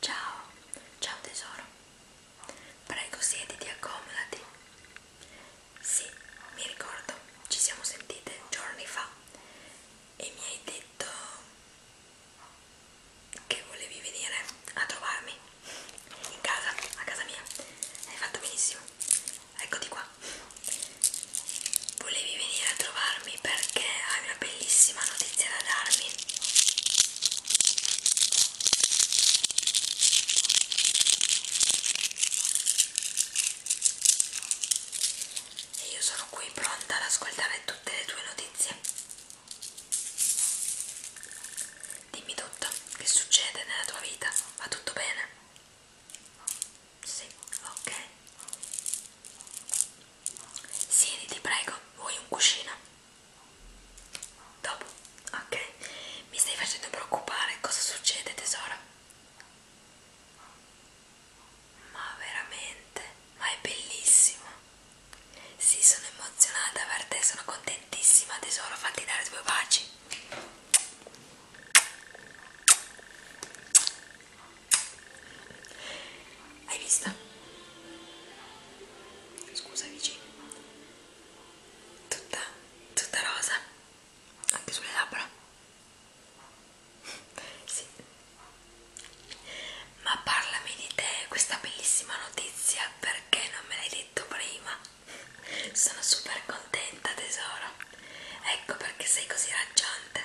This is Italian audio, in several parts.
Ciao, ciao tesoro. Prego, siediti, accomodati. Sì, mi ricordo, ci siamo sentite giorni fa e mi hai detto che volevi venire a trovarmi in casa, a casa mia. Hai fatto benissimo. Eccoti qua. Volevi venire a trovarmi perché hai una bellissima notizia da darmi. E io sono qui pronta ad ascoltare tutte le tue notizie. Dimmi tutto, che succede nella tua vita? Va tutto bene? Sì, ok. Siedi, ti prego. Vuoi un cuscino? Dopo, ok. Mi stai facendo preoccupare. Cosa succede, tesoro? Ma veramente, ma è bellissimo. Sì, sono emozionata per te, sono contentissima, tesoro. Fatti dare due baci. Hai vista? Scusa vicino. Tutta, tutta rosa. Anche sulle labbra. sì. Ma parlami di te, questa bellissima notizia, perché non me l'hai detto prima? Sono super contenta tesoro. Ecco perché sei così raggiante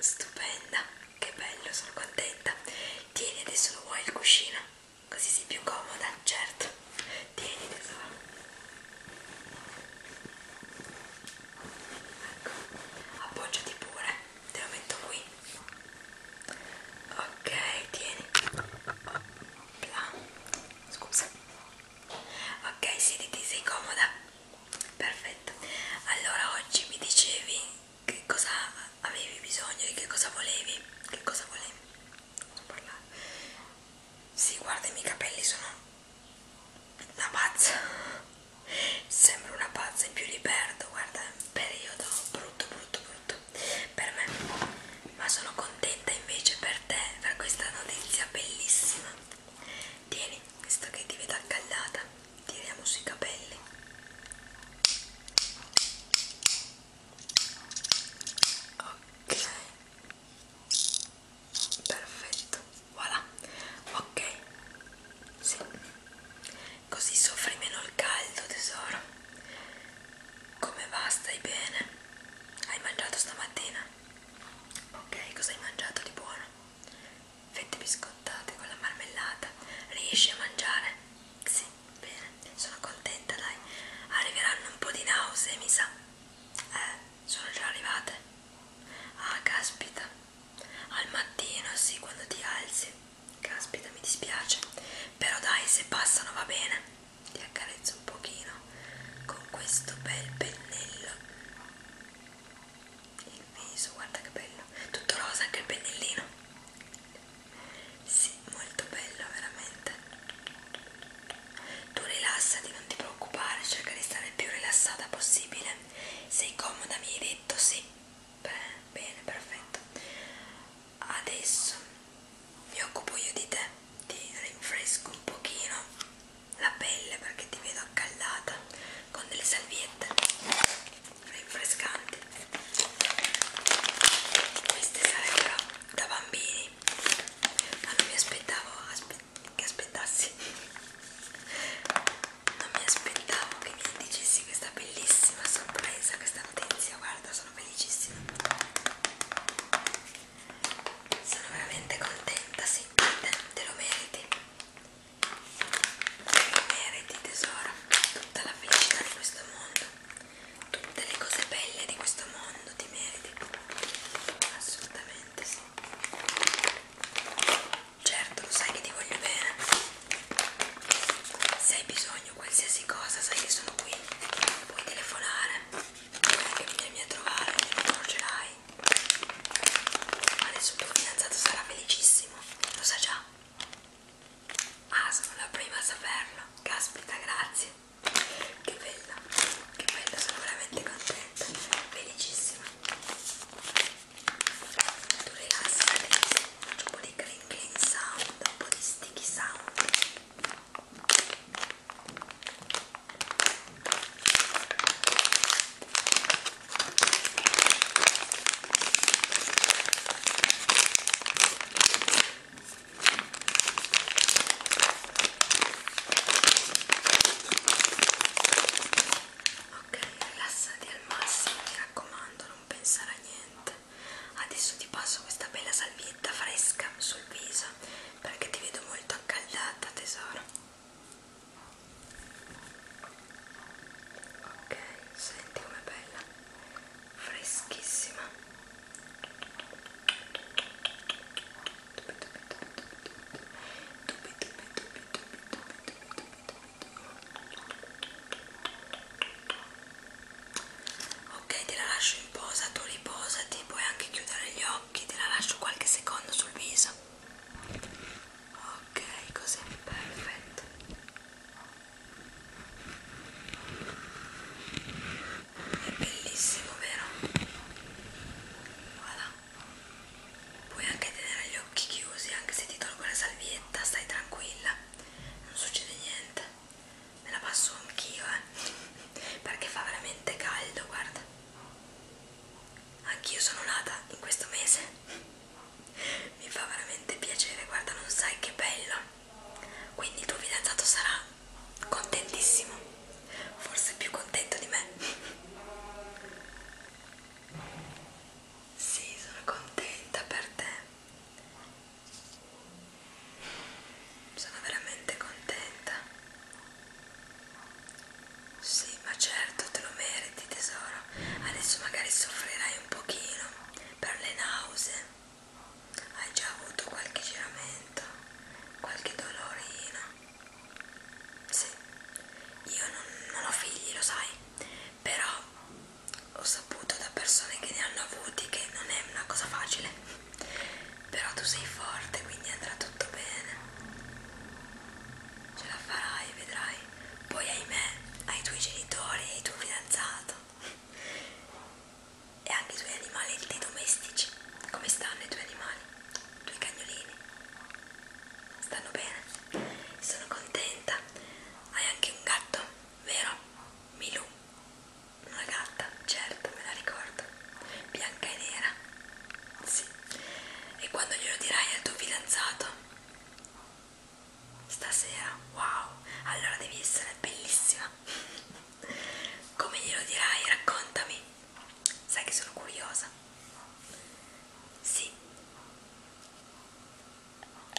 stupenda che bello sono contenta tieni adesso lo vuoi il cuscino così sei più comoda certo tieni tesoro ecco appoggiati pure te lo metto qui ok tieni Là. scusa ok siediti sei comoda perfetto allora oggi mi dicevi che cosa avevi bisogno di che cosa volevi che cosa volevi non parlare si sì, guarda i miei capelli sono una pazza sembro una pazza in più li perdo guarda è un periodo brutto brutto brutto per me ma sono contenta invece per te per questa notizia bellissima tieni visto che ti vedo accaldata tiriamo sui capelli ok perfetto voilà ok sì. così soffri meno il caldo tesoro come va stai bene hai mangiato stamattina ok cosa hai mangiato di buono fette biscottate con la marmellata. Riesci a mangiare? Sì, bene, sono contenta, dai. Arriveranno un po' di nausea, mi sa. Eh, sono già arrivate. Ah, caspita. Al mattino, sì, quando ti alzi. Caspita, mi dispiace. Però dai, se passano va bene. Ti accarezzo un pochino con questo bel pennello il viso, guarda che bello, tutto rosa anche il pennellino. Sì, molto bello, veramente. Tu rilassati, non ti preoccupare, cerca di stare il più rilassata possibile. Sei comoda, mi hai detto sì. Beh, bene, perfetto. Adesso mi occupo io di te, ti rinfresco un pochino la pelle perché ti vedo accaldata con delle salviette rinfrescanti queste sarebbero da bambini ma non mi aspettavo aspe che aspettassi non mi aspettavo che mi dicessi questa bellissima sorpresa questa notizia guarda sono felicissima sono veramente contenta sì te, te lo meriti meriti tesoro tutta la felicità di questo mondo tutte le cose belle di questo mondo ti meriti assolutamente sì certo lo sai che ti voglio bene se hai bisogno qualsiasi cosa sai che sono qui puoi telefonare puoi anche venirmi a trovare non te lo accorgerai Adesso il tuo fidanzato sarà felicissimo, lo sa già. Ah, sono la prima a saperlo. Caspita, grazie. Che bella, che bella, sono veramente contenta, felicissima. Tu rilassati, faccio un po' di crinkling sound, un po' di sticky sound. Ok, rilassati al massimo, mi raccomando, non pensare a niente. Adesso ti passo questa bella salvietta fresca sul viso perché ti vedo molto accaldata, tesoro ok senti com'è bella freschissima ok te la lascio in posa tu riposati puoi anche chiudere gli occhi te la lascio qualche secondo sul viso ok così perfetto è bellissimo vero? Voilà. puoi anche tenere gli occhi chiusi anche se ti tolgo la salvietta stai tranquilla non succede niente me la passo anch'io eh perché fa veramente caldo guarda anch'io sono nata in questo mese mi fa veramente piacere guarda non sai che bello quindi il tuo fidanzato sarà contentissimo forse più contento di me sì sono contenta per te sono veramente contenta sì, ma certo, te lo meriti, tesoro. Adesso magari soffrirai un pochino per le nausee. Hai già avuto qualche giramento, qualche dolorino. Sì, io non, non ho figli, lo sai, però ho saputo da persone che ne hanno avuti che non è una cosa facile. Però tu sei forte, quindi andrà tutto bene ce la farai, vedrai. Poi ahimè, ai tuoi genitori e ai tuo fidanzato. E anche i tuoi animali, i tuoi domestici. Come stanno i tuoi animali? I tuoi cagnolini? Stanno bene? Sono contenta. Hai anche un gatto, vero? Milù. Una gatta, certo, me la ricordo. Bianca e nera. Sì. E quando glielo dirai al tuo fidanzato? Stasera? Wow! Allora devi essere bellissima! Come glielo dirai? Raccontami! Sai che sono curiosa! Sì!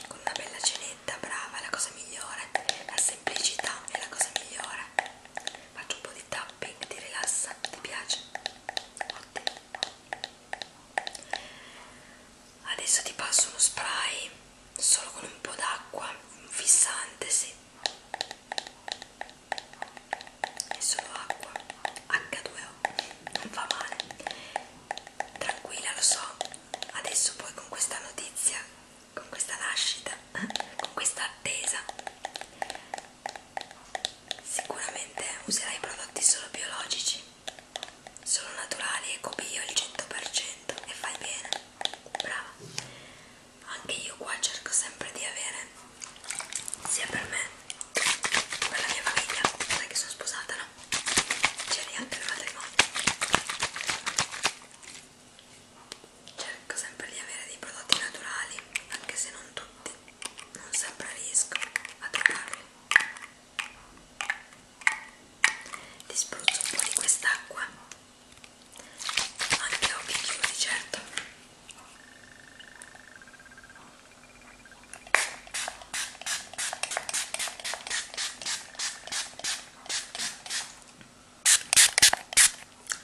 Con una bella cenetta, brava, è la cosa migliore! La semplicità è la cosa migliore! Faccio un po' di tapping, ti rilassa, ti piace? Ottimo! adesso ti passo uno spray solo con un po' d'acqua un fissante sì è solo acqua H2O non fa male tranquilla lo so adesso poi con questa notizia con questa nascita con questa attesa Sicuramente userai prodotti solo biologici, solo naturali, ecobio il 100% e fai bene, brava. Anche io qua cerco sempre di avere, sia per me che per la mia famiglia, perché sono sposata, no? C'è neanche il matrimonio. Cerco sempre di avere dei prodotti naturali, anche se non tutti non sempre riesco a toccarlo ti spruzzo un po' di quest'acqua anche occhi chiusi certo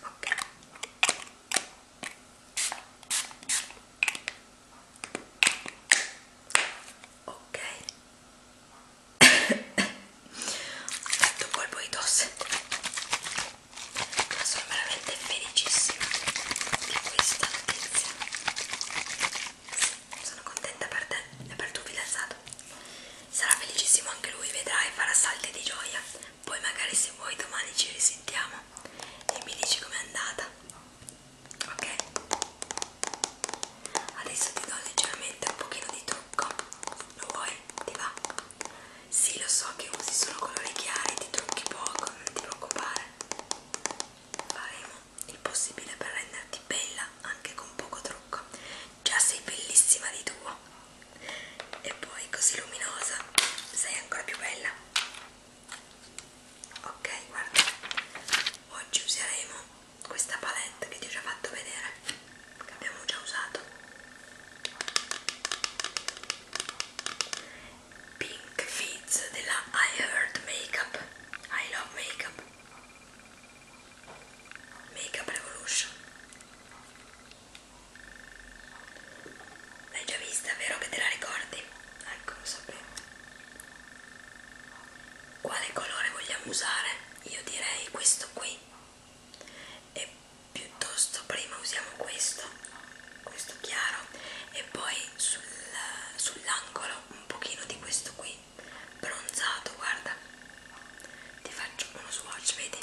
ok ok detto colpo di tosse ma sono veramente felicissima di questa notizia sono contenta per te e per tuo fidanzato sarà felicissimo anche lui vedrai farà salti di gioia poi magari se vuoi domani ci risentiamo e mi dici com'è andata ok adesso ti do leggermente un pochino di trucco lo vuoi? ti va? sì lo so che usi solo colori chiari ti trucchi poco non ti preoccupare faremo il possibile per renderti bella anche con poco trucco già sei bellissima di tuo e poi così luminosa sei ancora più bella ok guarda oggi useremo questa palette che ti ho già fatto vedere che abbiamo già usato Pink Fizz della I Heard Makeup I Love Makeup Makeup Revolution L'hai già vista, vero che te la ricordi? Ecco, lo sapevo. Quale colore vogliamo usare? Io direi questo qui. E piuttosto prima usiamo questo, questo chiaro, e poi sul, sull'angolo un pochino di questo qui, bronzato, guarda. Ti faccio uno swatch, vedi?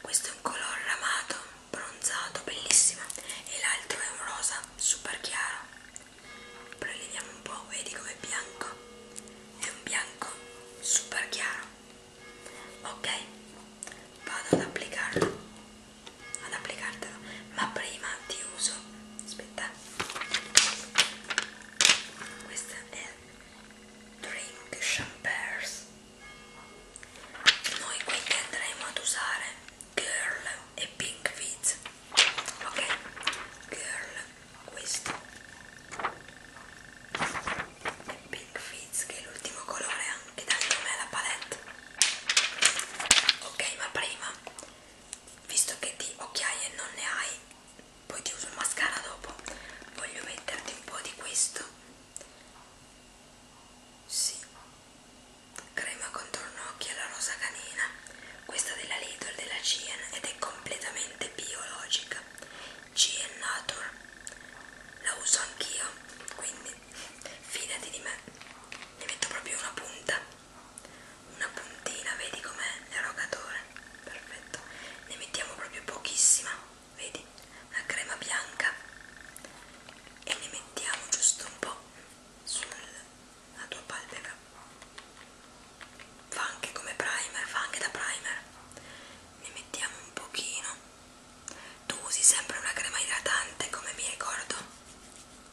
Questo è un colore ramato bronzato bellissima e l'altro è un rosa super chiaro preleviamo un po' vedi com'è bianco è un bianco super chiaro ok vado ad applicarlo ad applicartelo ma prima ti uso aspetta questa è Drink Champers noi quindi andremo ad usare Girl e Pink Fizz. Ok, Girl, questo e Pink Fizz che è l'ultimo colore anche dal nome alla palette. Ok, ma prima, visto che di occhiaie non ne hai, poi ti uso il mascara dopo, voglio metterti un po' di questo. Sì, Crema contorno occhi alla rosa canina. Questa della Lidl della Cien ed è completamente biologica. Cien Nature. La uso anch'io, quindi fidati di me. Ne metto proprio una punta. Una puntina, vedi com'è l'erogatore. Perfetto. Ne mettiamo proprio pochissima vedi, la crema bianca e ne mettiamo giusto un po' sulla tua palpebra fa anche come primer, fa anche da primer ne mettiamo un pochino tu usi sempre una crema idratante come mi ricordo,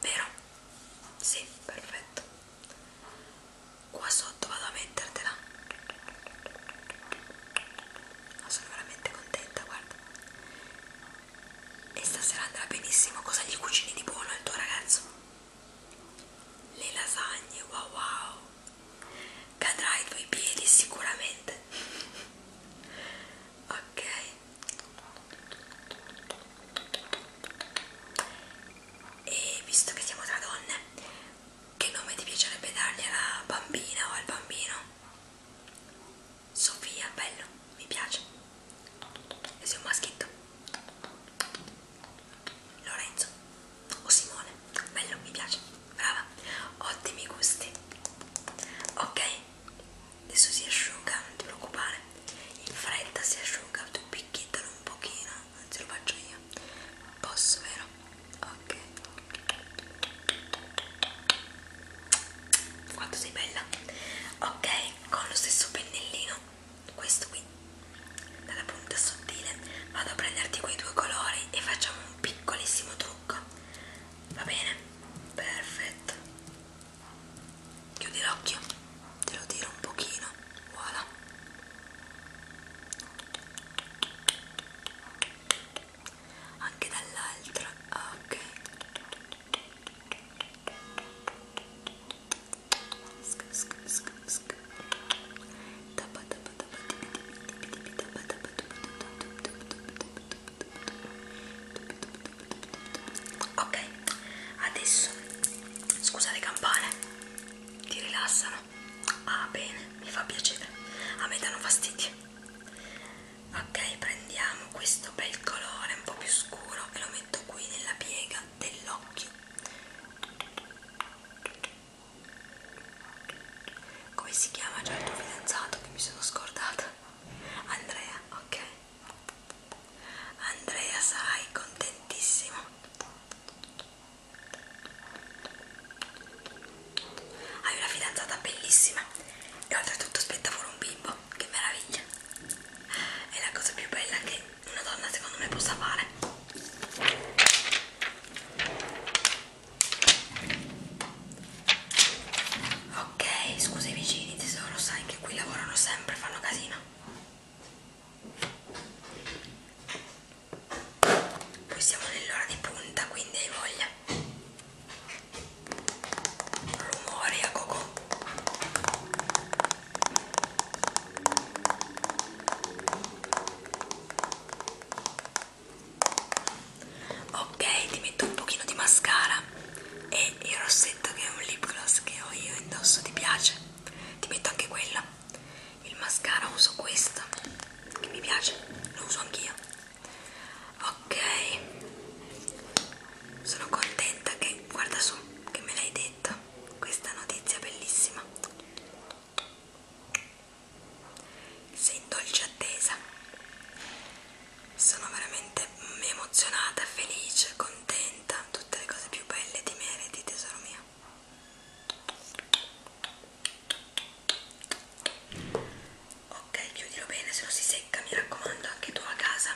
vero? sì, perfetto qua sotto vado a mettertela no, sono veramente contenta, guarda. E stasera andrà benissimo. Cosa gli cucini di buono al tuo ragazzo? Le lasagne, wow wow. Cadrà ai tuoi piedi sicuramente. ok. E visto che siamo tra donne, che nome ti piacerebbe dargli alla bambina o al bambino? Sofia, bello, mi piace. E sei un maschietto. Lorenzo o Simone, bello, mi piace. Brava, ottimi gusti. Ok, adesso si asciuga, non ti preoccupare. In fretta si asciuga, tu picchiettalo un pochino, anzi lo faccio io. Posso, vero? ok quanto sei bella ok con lo stesso pennellino questo qui dalla punta sottile vado a prenderti quei due colori e facciamo un piccolissimo trucco va bene perfetto chiudi l'occhio te lo tiro un pochino voilà anche dall'altra ah, ok ok adesso scusa le campane ti rilassano ah bene mi fa piacere a me danno fastidio ok prendiamo questo bel colore un po' più scuro e lo metto qui nella piega dell'occhio come si chiama già il tuo fidanzato che mi sono scordata Andrea ok Andrea sarai contentissimo hai una fidanzata bellissima e oltretutto aspetta fuori un bimbo, che meraviglia! È la cosa più bella che una donna secondo me possa fare. Ok, scusa i vicini tesoro, sai che qui lavorano sempre, fanno casino. Poi siamo nell'ora di punta, quindi hai voglia rumori a cocò ok ti metto un pochino di mascara e il rossetto che è un lip gloss che ho io indosso ti piace ti metto anche quello il mascara uso questo che mi piace lo uso anch'io ok sono contenta che guarda su che me l'hai detta questa notizia bellissima sei in dolce attesa sono veramente emozionata felice contenta tutte le cose più belle di Meriti tesoro mio ok chiudilo bene se no si secca mi raccomando anche tu a casa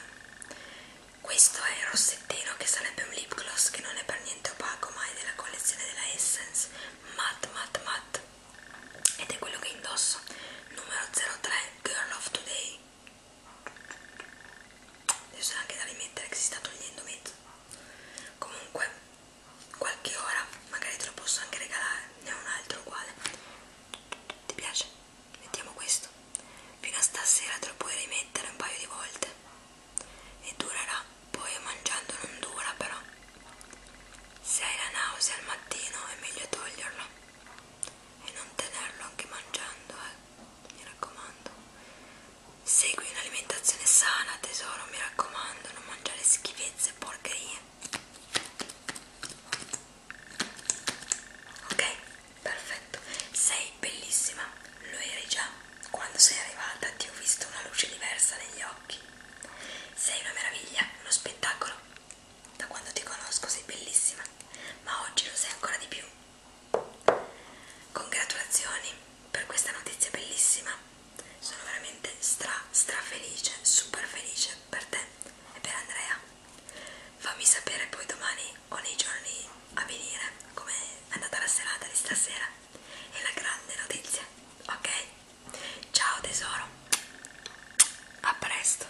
questo è il rossettino che sarebbe un lip gloss che non è per niente opaco ma è della collezione della Essence matte matte matte ed è quello che indosso numero 03 Girl of Today adesso è anche da rimettere che si sta togliendo mezzo comunque qualche ora magari te lo posso anche regalare ne ho un altro uguale ti piace? mettiamo questo fino a stasera te lo puoi rimettere un paio di volte e durerà poi mangiando non dura però se hai la nausea al mattino è meglio toglierlo e non tenerlo anche mangiando eh. mi raccomando segui un'alimentazione sana tesoro mi raccomando non mangiare schifezze e porcherie Ok, perfetto. Sei bellissima, lo eri già. Quando sei arrivata ti ho visto una luce diversa negli occhi. Sei una meraviglia, uno spettacolo. Da quando ti conosco sei bellissima, ma oggi lo sei ancora di più. Congratulazioni per questa notizia bellissima. Sono veramente stra stra felice, super felice per te e per Andrea. Fammi sapere poi domani o nei giorni a venire come è andata la serata di stasera e la grande notizia, ok? Ciao tesoro, a presto.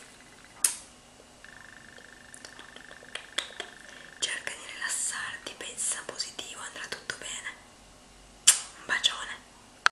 Cerca di rilassarti, pensa positivo, andrà tutto bene. Un bacione.